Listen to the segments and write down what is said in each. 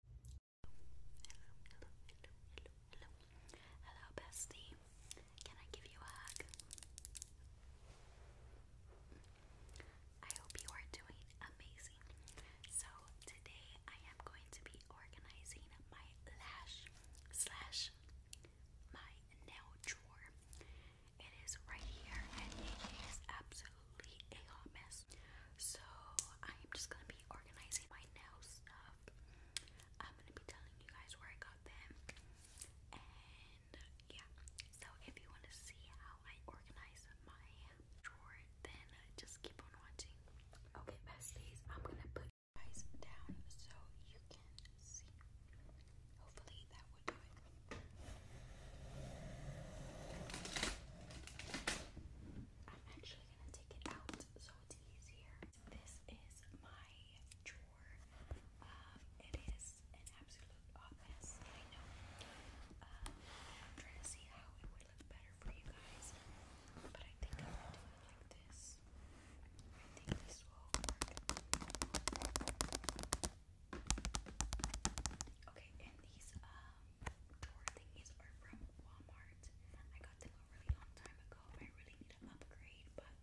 Hello, hello, hello, hello, hello. Hello, bestie. Can I give you a hug? I hope you are doing amazing. So today I am going to be organizing my lash slash my nail drawer. It is right here and it is absolutely a hot mess. So I'm just gonna be organizing my nail stuff. I'm gonna be telling you guys where I got them, and yeah. So if you want to see how I organize my drawer, then just keep on watching. Okay, besties, I'm gonna put you guys down so you can see. Hopefully that would do it. I'm actually actually gonna take it out so it's easier. This is my drawer. Um, it is an absolute mess. I know. Um, trying to see how it would look better for you guys, but I think I'm gonna do it like this. I think this will work. Okay, and these uh, um, drawer are from Walmart. I got them a really long time ago. I really need to upgrade, but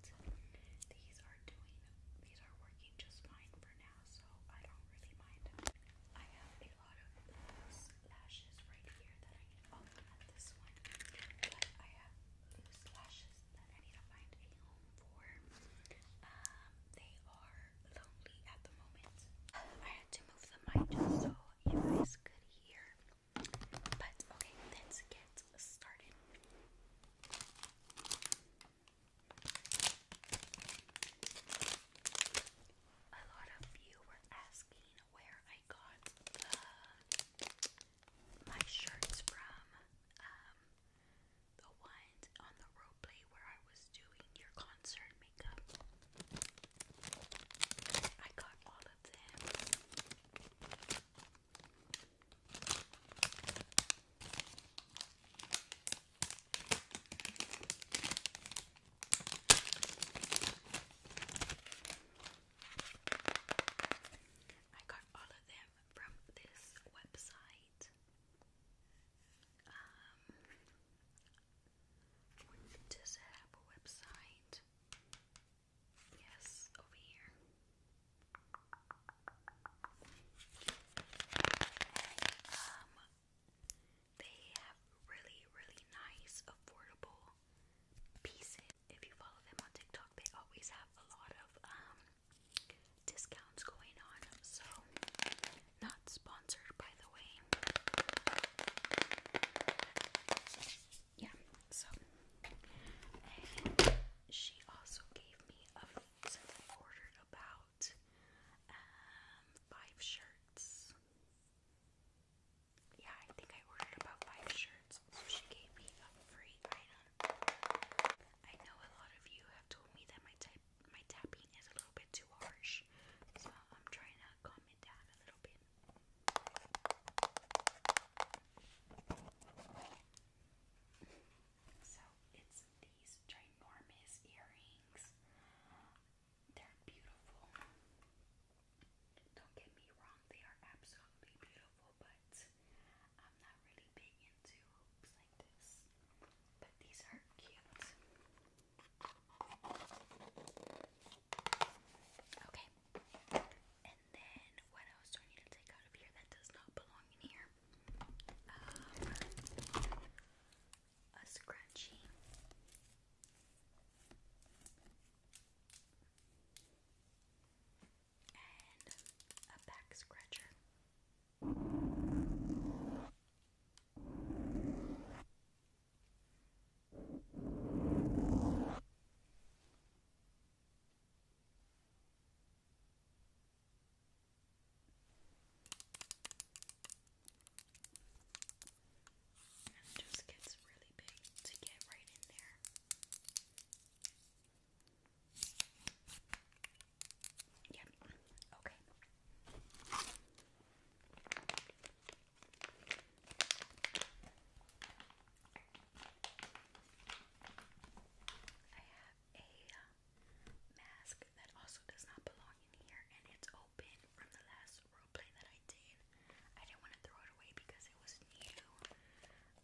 these are doing, these are working just fine for now, so I don't really mind. I have a lot of loose lashes right here that I need. Oh, not this one, but I have loose lashes that I need to find a home for. Um, they are lonely at the moment. I had to move the mic just so you guys could hear. But okay, let's get started. A lot of you were asking where I got my shirts from. Um, the one on the roleplay where I was doing your concert makeup. I got all of them. I got all of them from this website. Um, does it have a website? Yes, over here. Um, they have really, really nice, affordable pieces. If you follow them on TikTok, they always have a lot of um discounts going on. So not sponsored, by the way. Yeah, so. she also gave me a, since ordered about um, five shirts. Yeah, I think I ordered about five shirts, so she gave me a free item. I know a lot of you have told me that my type my tapping is a little bit too harsh, so I'm trying to calm it down a little bit. So it's these ginormous earrings. They're beautiful. Don't get me wrong, they are absolutely beautiful, but I'm not really big into hoops like this. But these are cute. Okay. And then what else do I need to take out of here that does not belong in here? Um, a scrunchie. And a back scratcher. And it just gets really big to get right in there. Yep. Okay. I have a uh, mask that also does not belong in here and it's open from the last roleplay that I did. I didn't want to throw it away because it was new.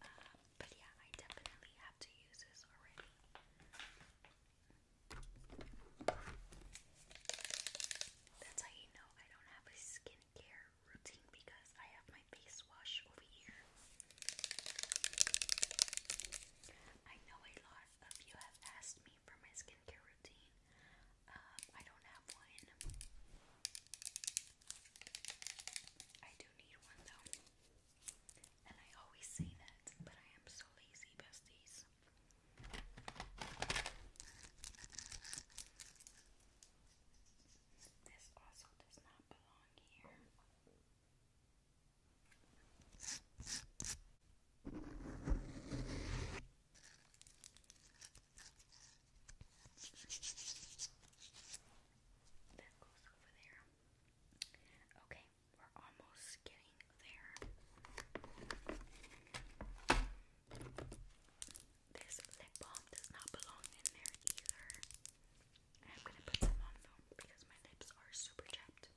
Uh, but yeah, I definitely have to use this already. That's how you know I don't have a skincare routine because I have my face wash over here. I know a lot of you have asked me for my skincare routine. Um, I don't have one. I do need one though. And I always say that, but I am so lazy besties this. This does not belong here. That goes over there. Okay, we're almost getting there. This lip balm does not belong in there either. I'm gonna put some on though because my lips are super chapped.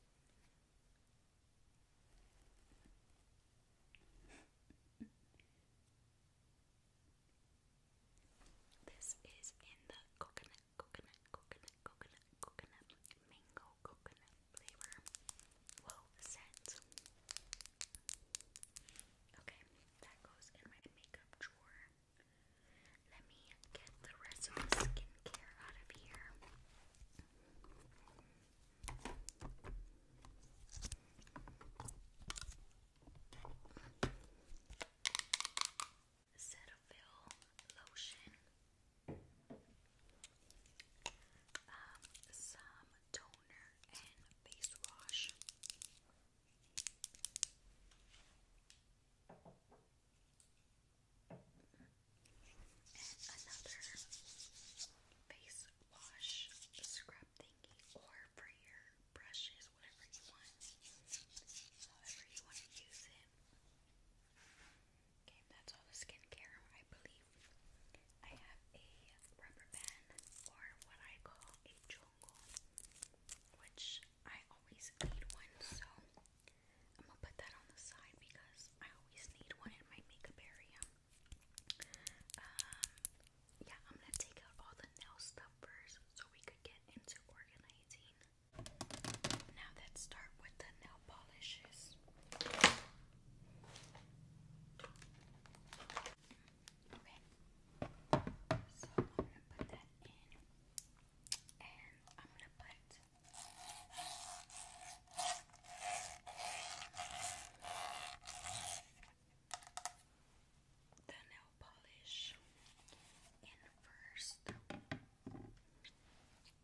This is in the coconut, coconut, coconut, coconut, coconut, mango, coconut, they were well set. Okay, that goes in my makeup drawer. Let me get the rest of the skincare out of here. Cetaphil lotion um, some toner and face wash. And another face wash scrub thingy, or for your brushes, whatever you want, however you want to use it. Okay, that's all the skincare, I believe. I have a rubber band, or what I call a chongo, which I always need one, so I'm gonna put that on the side because I always need one in my makeup area. Um, yeah, I'm gonna take out all the nail stuff first so we could get into organizing now let's start with the nail polishes. Okay. So I'm gonna put that in and I'm gonna put the nail polish in first.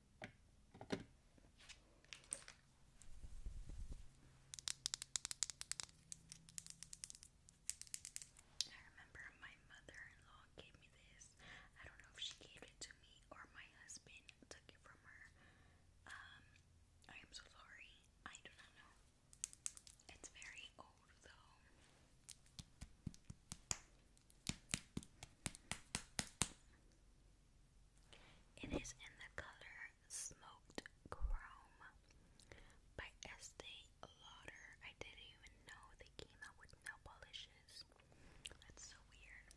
I remember my mother-in-law gave me this. I don't know if she gave it to me or my husband took it from her. Um, I am so sorry. I do not know. It's very old though. It is in the color Smoked Chrome by Estee Lauder. I didn't even know they came out with nail polishes. That's so weird.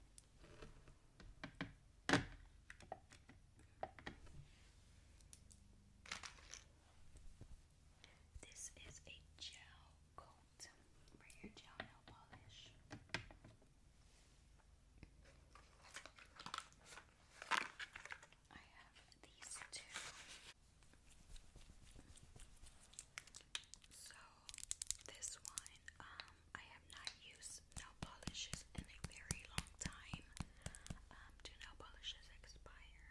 This is a gel coat for gel nail polish. I have these two. So this one, um, I have not used nail polishes in a very long time. do nail polishes expire?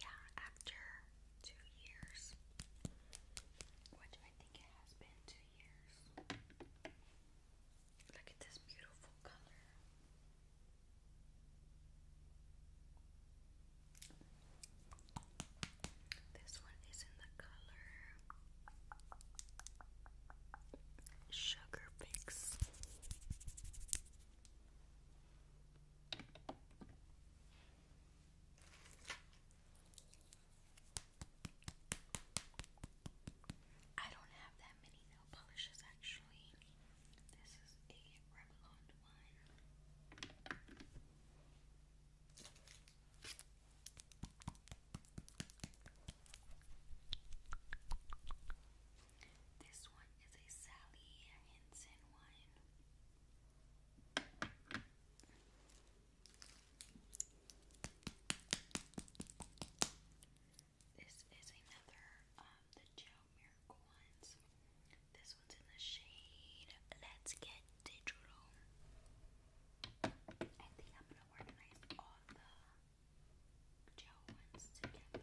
Yeah, after two years. Which I think it has been years. Look at this beautiful color. This one is in the color Sugar Fix. I don't have that many nail polishes actually. This is a Revlon one. This one is a Sally Henson one. This is another of um, the Joe Miracle ones. This one's in the shade Let's Get Digital. I think I'm gonna organize all the gel ones together.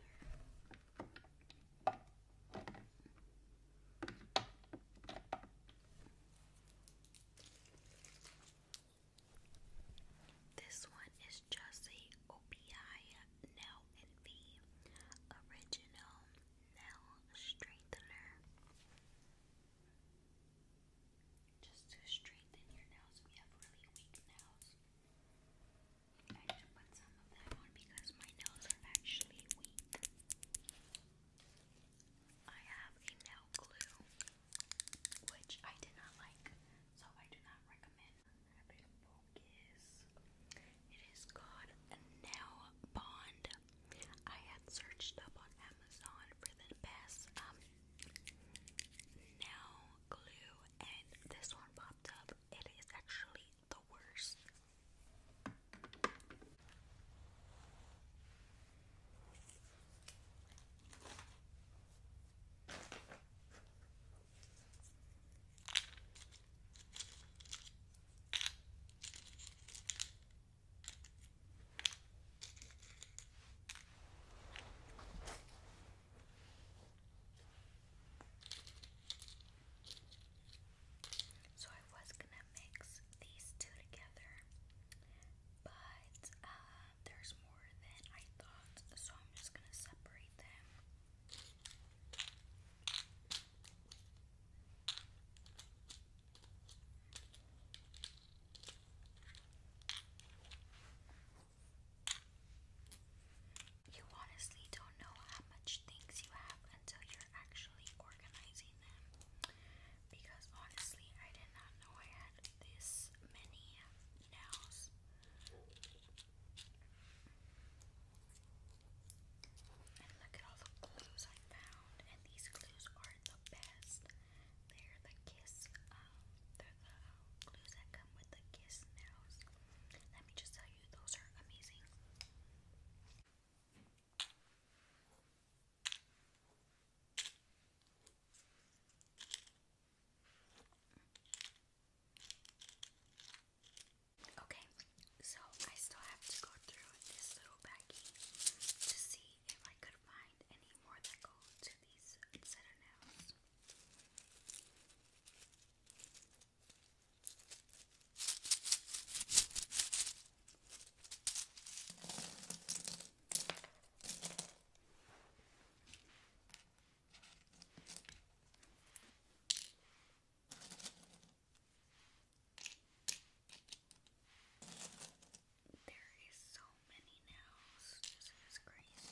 This one is Jussie OPI Nail and V Original Nail Strengthener. Just to strengthen your nails if have really weak nails. I put some of that on because my nails are actually weak. I have a nail glue, which I did not like, so I do not recommend. It is called Nail Bond. I had searched up on Amazon for the best um, nail glue, and this one popped up. It is actually the worst. So I was going to mix these two together, but uh, there's more than I thought, so I'm just gonna separate them. You honestly don't know how much things you have until you're actually organizing seen because honestly, I did not know I had this many nails. And look at all the clues I found, and these clues are the best. They're the kiss, um, they're the um, clues that come with the kiss nails. Let me just tell you, those are amazing. Okay, so I still have to go through this little baggie to see if I could find any more that go to these set of nails. There is so many nails. This is crazy.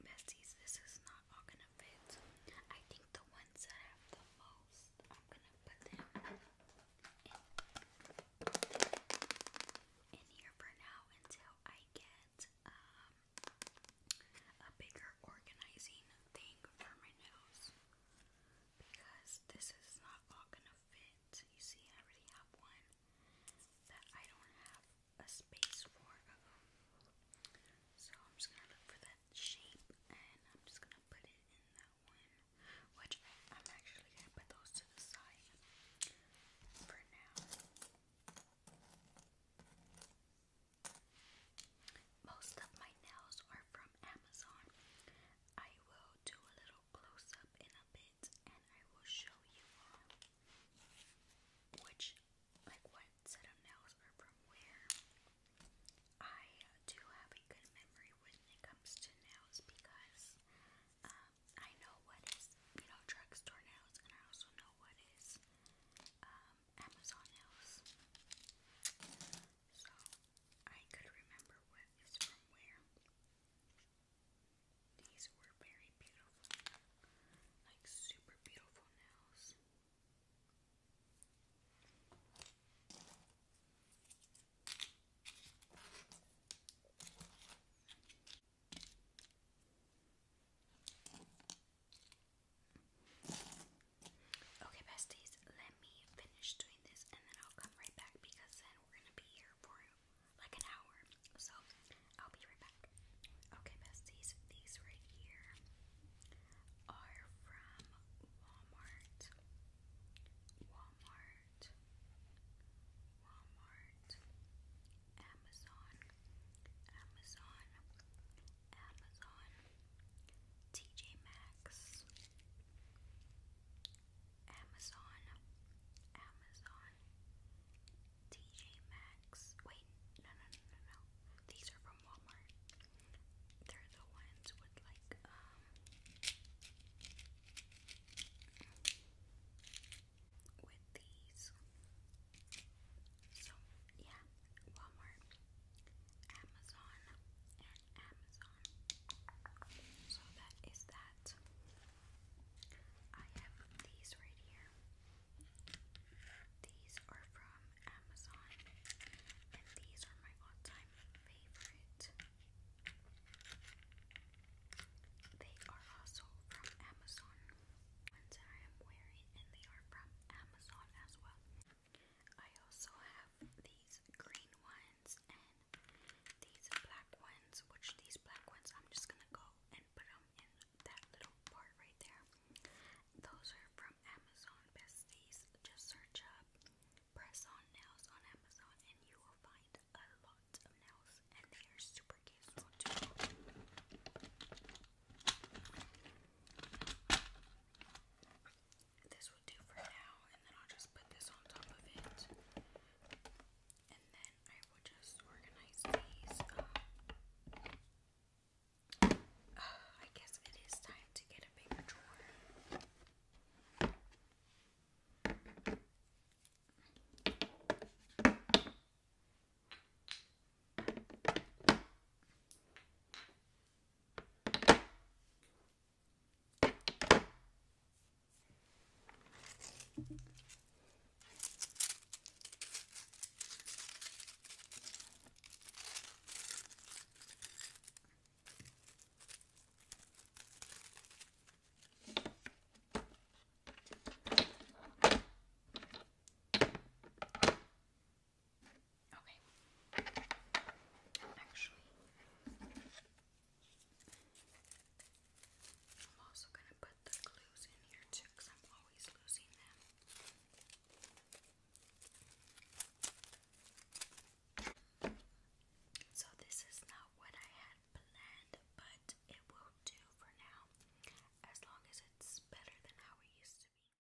Besties, this is not all gonna fit. I think the ones that have the most, I'm gonna put them in, here for now until I get um, a bigger organizing thing for my nails because this is not all gonna fit. You see, I already have one that I don't have a space for. So I'm just gonna look for that shape and I'm just gonna put it in that one. Which I'm actually gonna put those to the side for now. Most of my nails are from Amazon. I will do a little close up in a bit and I will show you um, which, like, what set of nails are from where. I uh, do have a good memory when it comes to nails because um, I know what is, you know, drugstore nails and I also know what is um, Amazon nails. So I could remember what is from where. These were very beautiful, like super beautiful nails. Okay, besties, let me finish doing this and then I'll come right back because then we're gonna be here for like an hour. So I'll be right back. Okay, besties, these right here are from Walmart. Walmart. Walmart. Amazon. Amazon. Amazon. TJ Maxx. Amazon, Amazon, TJ Maxx. Wait, no, no, no, no, no. These are from Walmart. They're the ones with like um with these. So yeah, Walmart, Amazon, Amazon. So that is that. I have these right here. These are from Amazon, and these are my all time favorite. They are also from Amazon. Ones I am wearing, and they are from Amazon as well. I also have these green ones these black ones, which these black ones, I'm just gonna go and put them in that little part right there. Those are from Amazon besties. Just search up press on nails on Amazon and you will find a lot of nails and they are super cute. too this will do for now, and then I'll just put this on top of it. And then I will just organize these. Um, I guess it is time to get a bigger drawer. Okay. Actually, I'm always losing them. So, this is not what I had planned, but it will do for now as long as it's better than how it used to be.